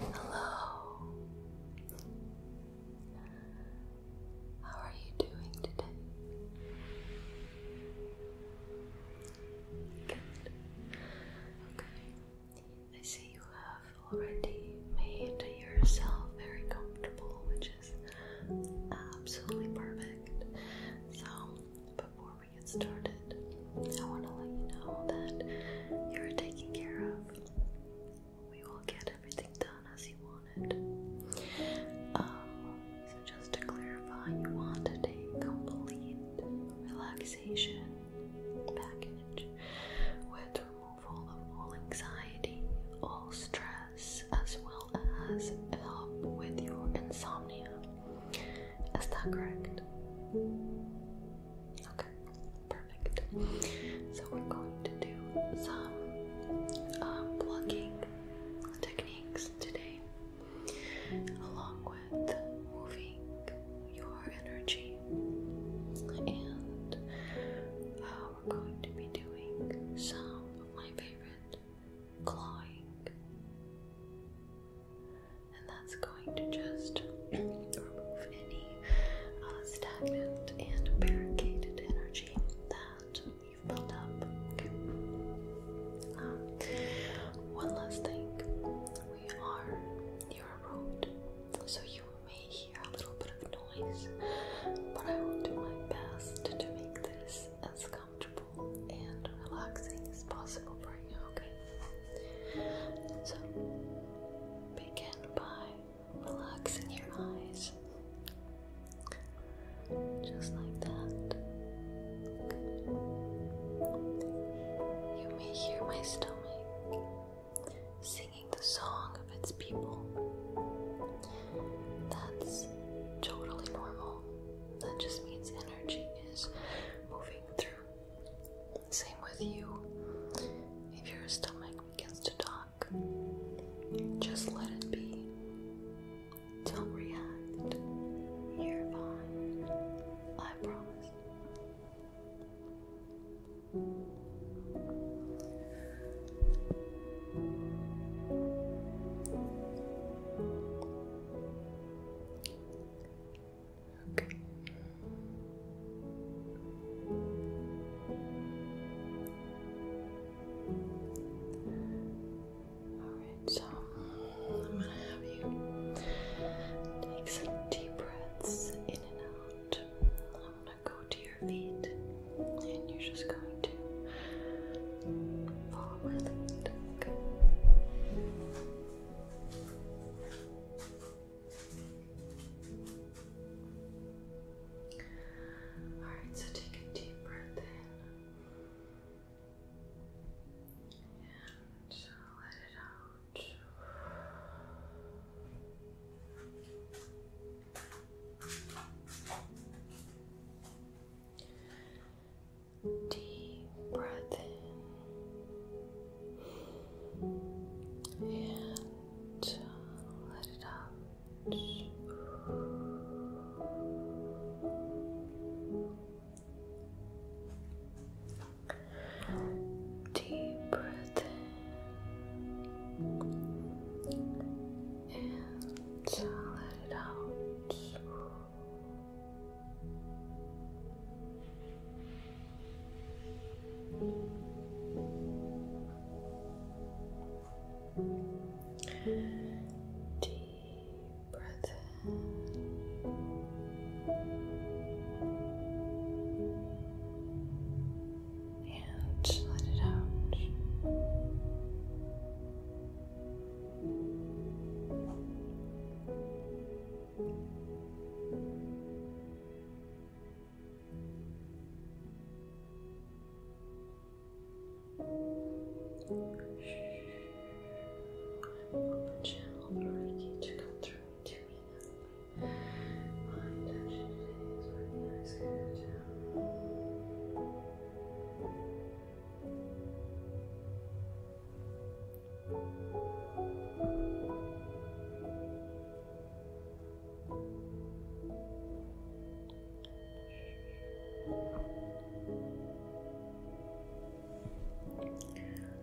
Hello. How are you doing today? Good. Okay. I see you have already made yourself very comfortable, which is absolutely perfect. So, before get started, I want to let you know that you're taken care of. We will get everything done as you want it. Um, so just to clarify, you want a complete relaxation package with removal of all anxiety, all stress, as well as help with your insomnia. Is that correct? Okay, perfect. So we're going to do some um, techniques today, along with moving your energy, and uh, we're going to be doing some my favorite clawing and that's going to just remove any uh, stagnant and barricaded energy that you've built up. Um, one last thing, we are near road, so you may hear a little bit of noise, but I will do my best to make this as and relaxing as possible for you, okay? So, begin by relaxing your eyes. Just like that. You may hear my stomach singing the song of its people. That's totally normal. That just means energy is moving through. Same with you. If your stomach begins to talk, just let it be. Don't react. You're fine. I promise. Okay. Alright, so I'm gonna have you take some deep breaths in and out. I'm gonna go to your feet and you're just going to Alright, so take a deep breath in and uh, let it out. Deep breath in and let it out. Deep breath in and let it out. Deep breath And let it out. Channel for you to come through to me. My intention is recognize good down.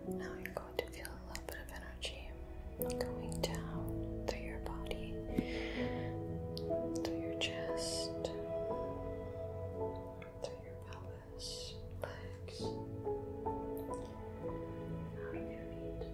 Now you're going to feel a little bit of energy going down through your body, through your chest, through your belly pelvis, legs, out of your feet.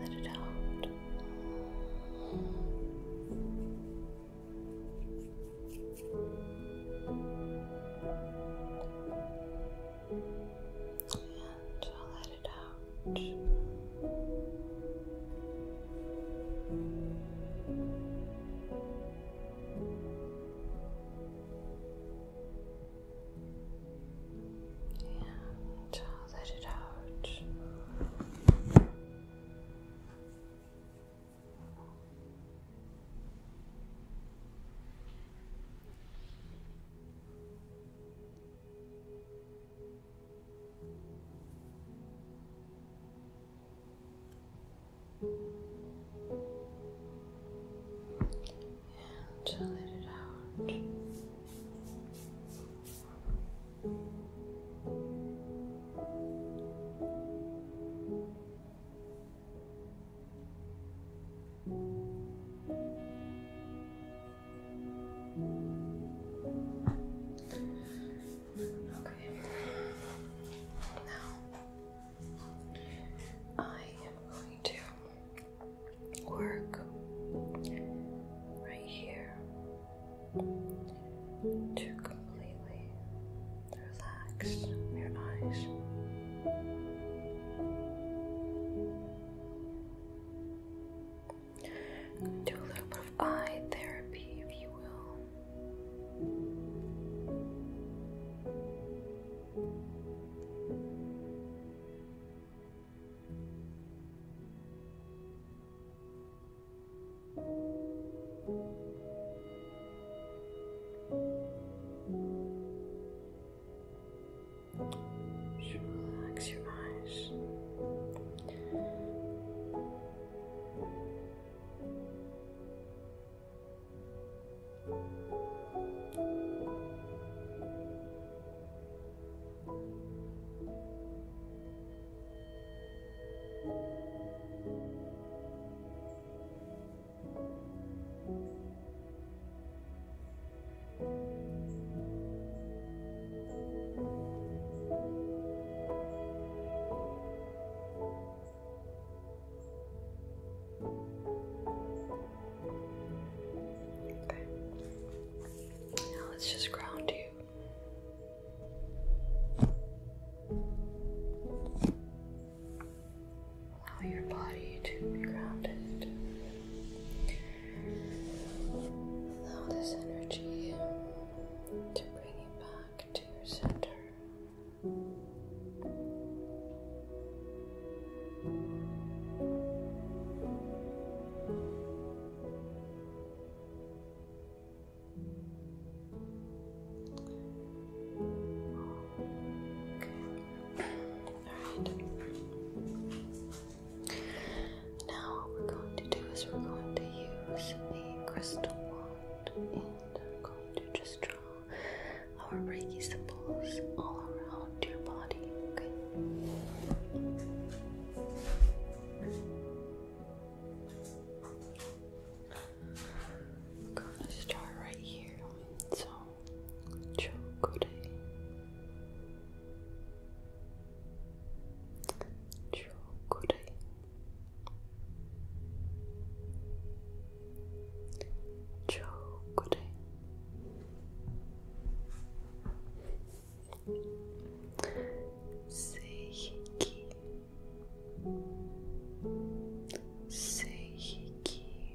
Let it out and I'll let it out. And I'll let it out. And to let it out. Okay. Now I am going to work right here to completely relax your eyes. Do a little bit of eye therapy, if you will relax your eyes. Okay. Now let's just ground you. Allow your body to be grounded. Allow this energy to bring you back to your center. Alright. Now, what we're going to do is we're going to use the crystal wand and I'm going to just draw our Reiki symbols all around your body, okay? i going to start right here. Chocolate. Chocolate. Chocolate. Seiki. Seiki.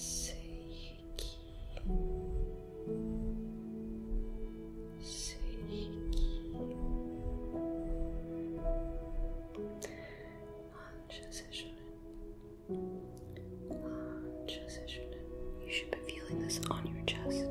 Seiki Seiki Anja Sessionin You should be feeling this on your chest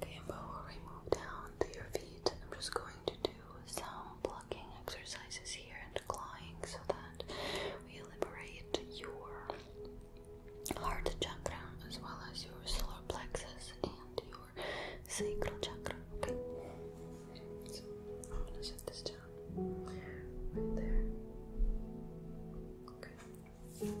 before we move down to your feet, I'm just going to do some plucking exercises here and clawing so that we liberate your heart chakra as well as your solar plexus and your your sacral chakra. Okay. I'm gonna set this down right there. Okay.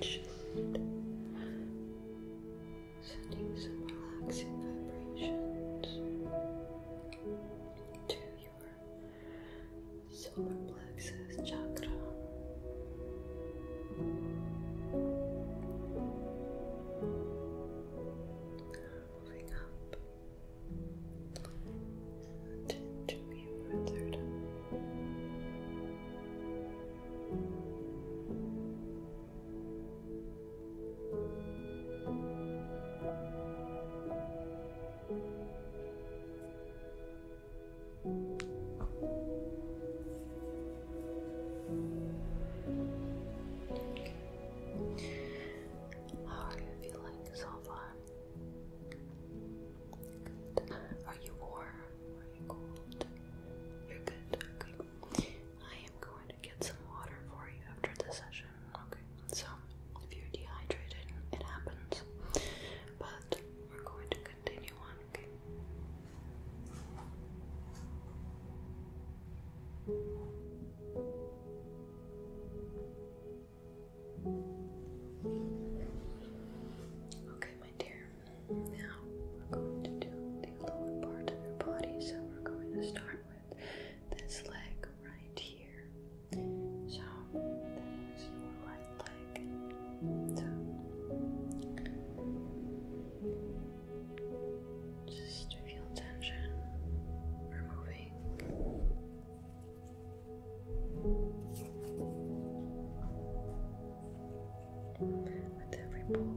Just sending some relaxing vibrations to your solar plexus chakra. Moving up to your third eye. How are you feeling so far? Good. Are you warm? Are you cold? You're good. Okay. I am going to get some water for you after the session. Okay, so if you're dehydrated, it happens. But we're going to continue on, okay? my dear. Now we're going to do the lower part of your body. So we're going to start with this leg right here. So that is your right leg. just feel tension removing. With every pull,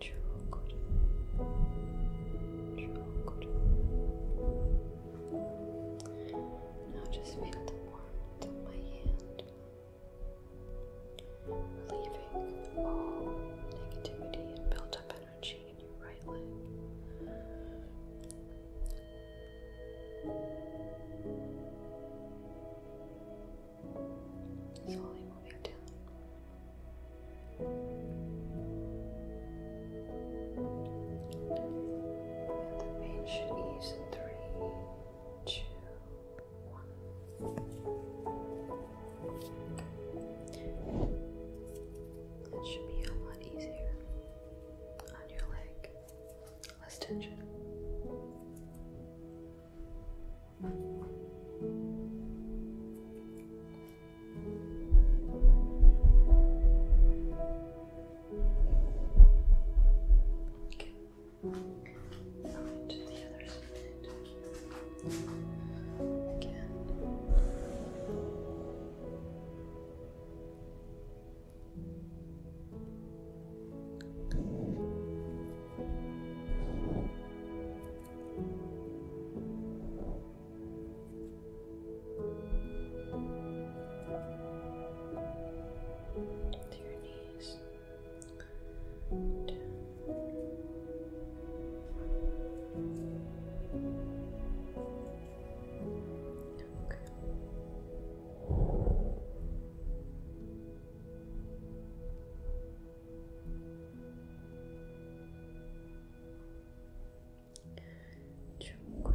çok Now just feel the warmth of my hand, leaving all negativity and built up energy in your right leg. Slowly move your the pain should ease in three, two, one. That should be a lot easier on your leg. Less tension. Okay. Right, to the other side. Again. Okay to your knees. Okay. Çok Çok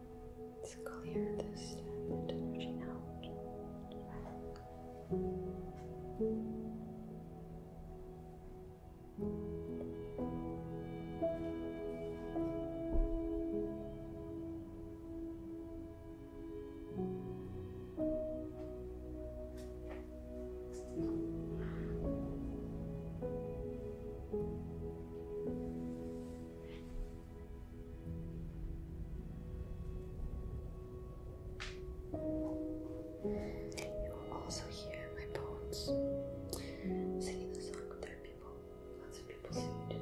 Let's clear this stagnant energy out. You will also hear my poets singing the song with their people. Lots of people sing today.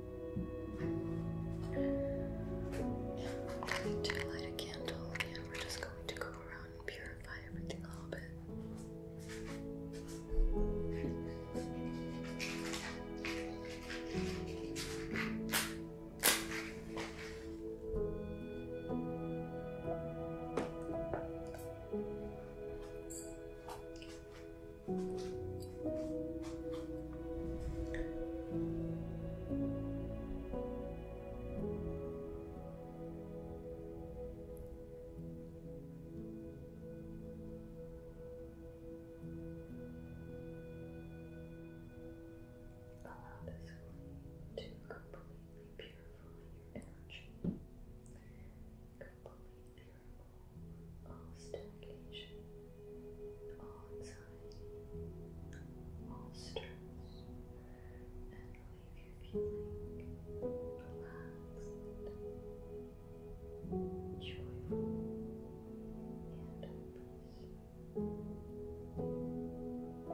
To light a candle, and we're just going to go around and purify everything a little bit. Allow this flame to completely purify your energy, completely remove all stagnation, all anxiety, all stress, and leave you feeling relaxed, joyful, and at peace.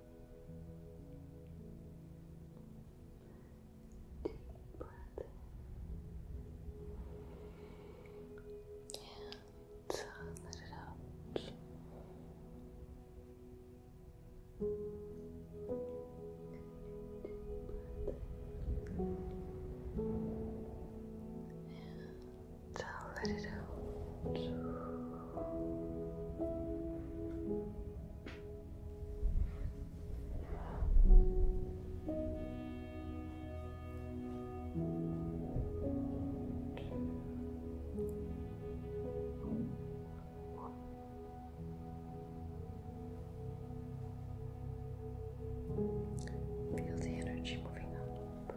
Deep breath in. And let it out. Deep breath in. So Feel the energy moving up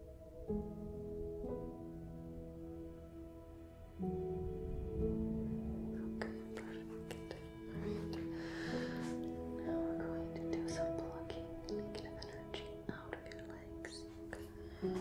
Okay, perfect. Alright. Now we're going to do some blocking negative energy out of your legs. Okay.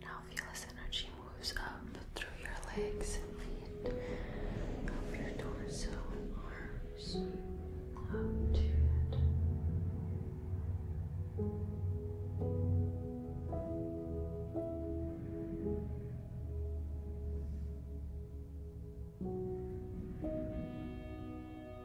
Now feel as energy moves up through your legs and feet, up your torso and arms, up to it.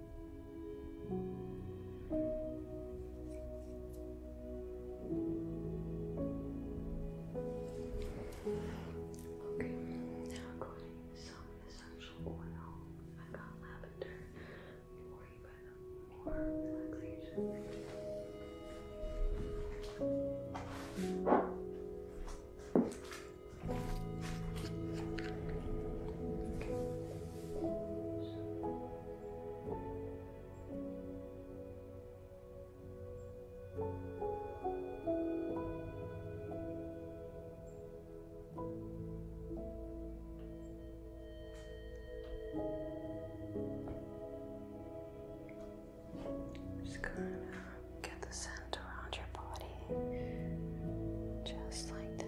Okay, now i to some essential oil. I got lavender for you, but more relaxation. Just kind of get the scent around your body, just like that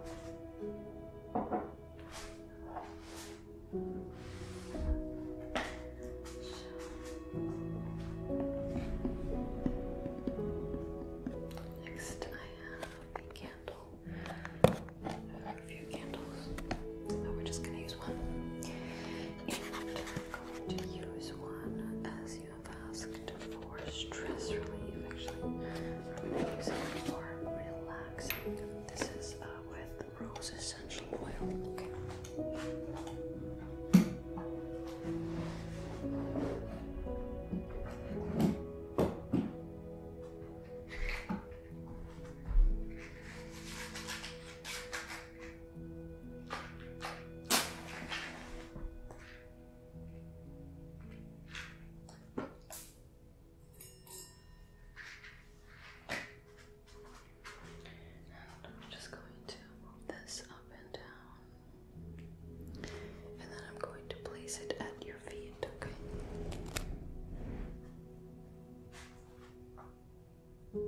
Next, I have a candle. I have a few candles, we're just going to use one. And I'm going to use one as you you have asked for stress relief, actually. I'm going it for relaxing. This is uh, with rose essential oil. Okay. And I'm just going to move this up and down. And then I'm going to place it at your feet, Okay,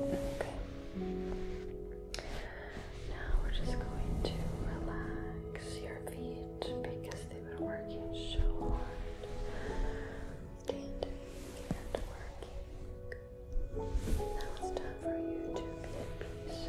Okay. Now we're just going to relax your feet because they've been working so hard. Standing and working. Now it's time for you to be at peace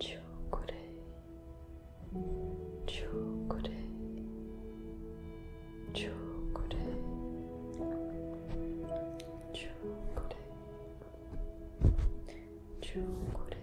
Chokure, chokure, chokure, chokure, chokure,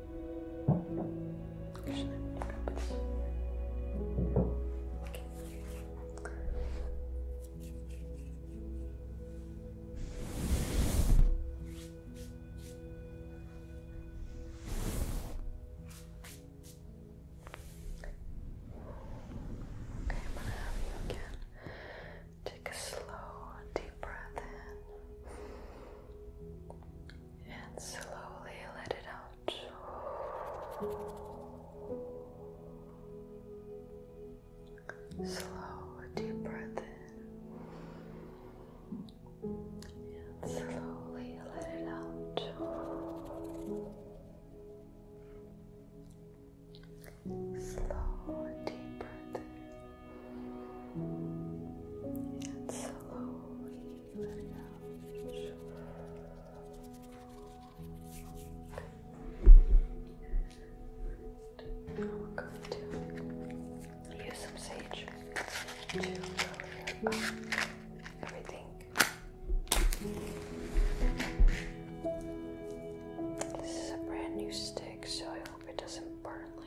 Actually, Okay. Okay, I'm gonna have you again. Take a slow, deep breath in and slowly let it out. Slow, deep breath in, and slowly let it out. Slow, deep breath in. And slowly let it And now we're going to use some sage to cover up everything. This is a brand new stick, so I hope it doesn't burn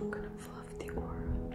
I'm gonna fluff the world.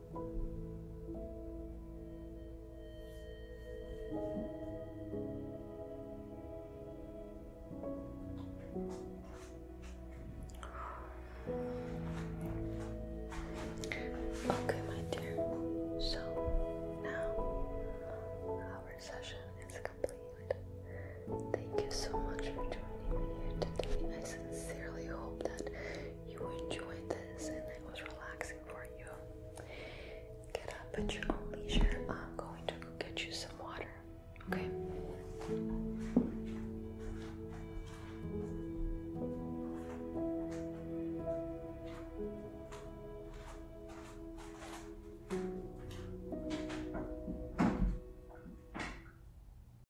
Okay, my dear. So now our session is complete. Thank you so much for joining me here today sincerely hope that you enjoyed this and it was relaxing for you. Get up at your own leisure. I'm going to go get you some water. Okay.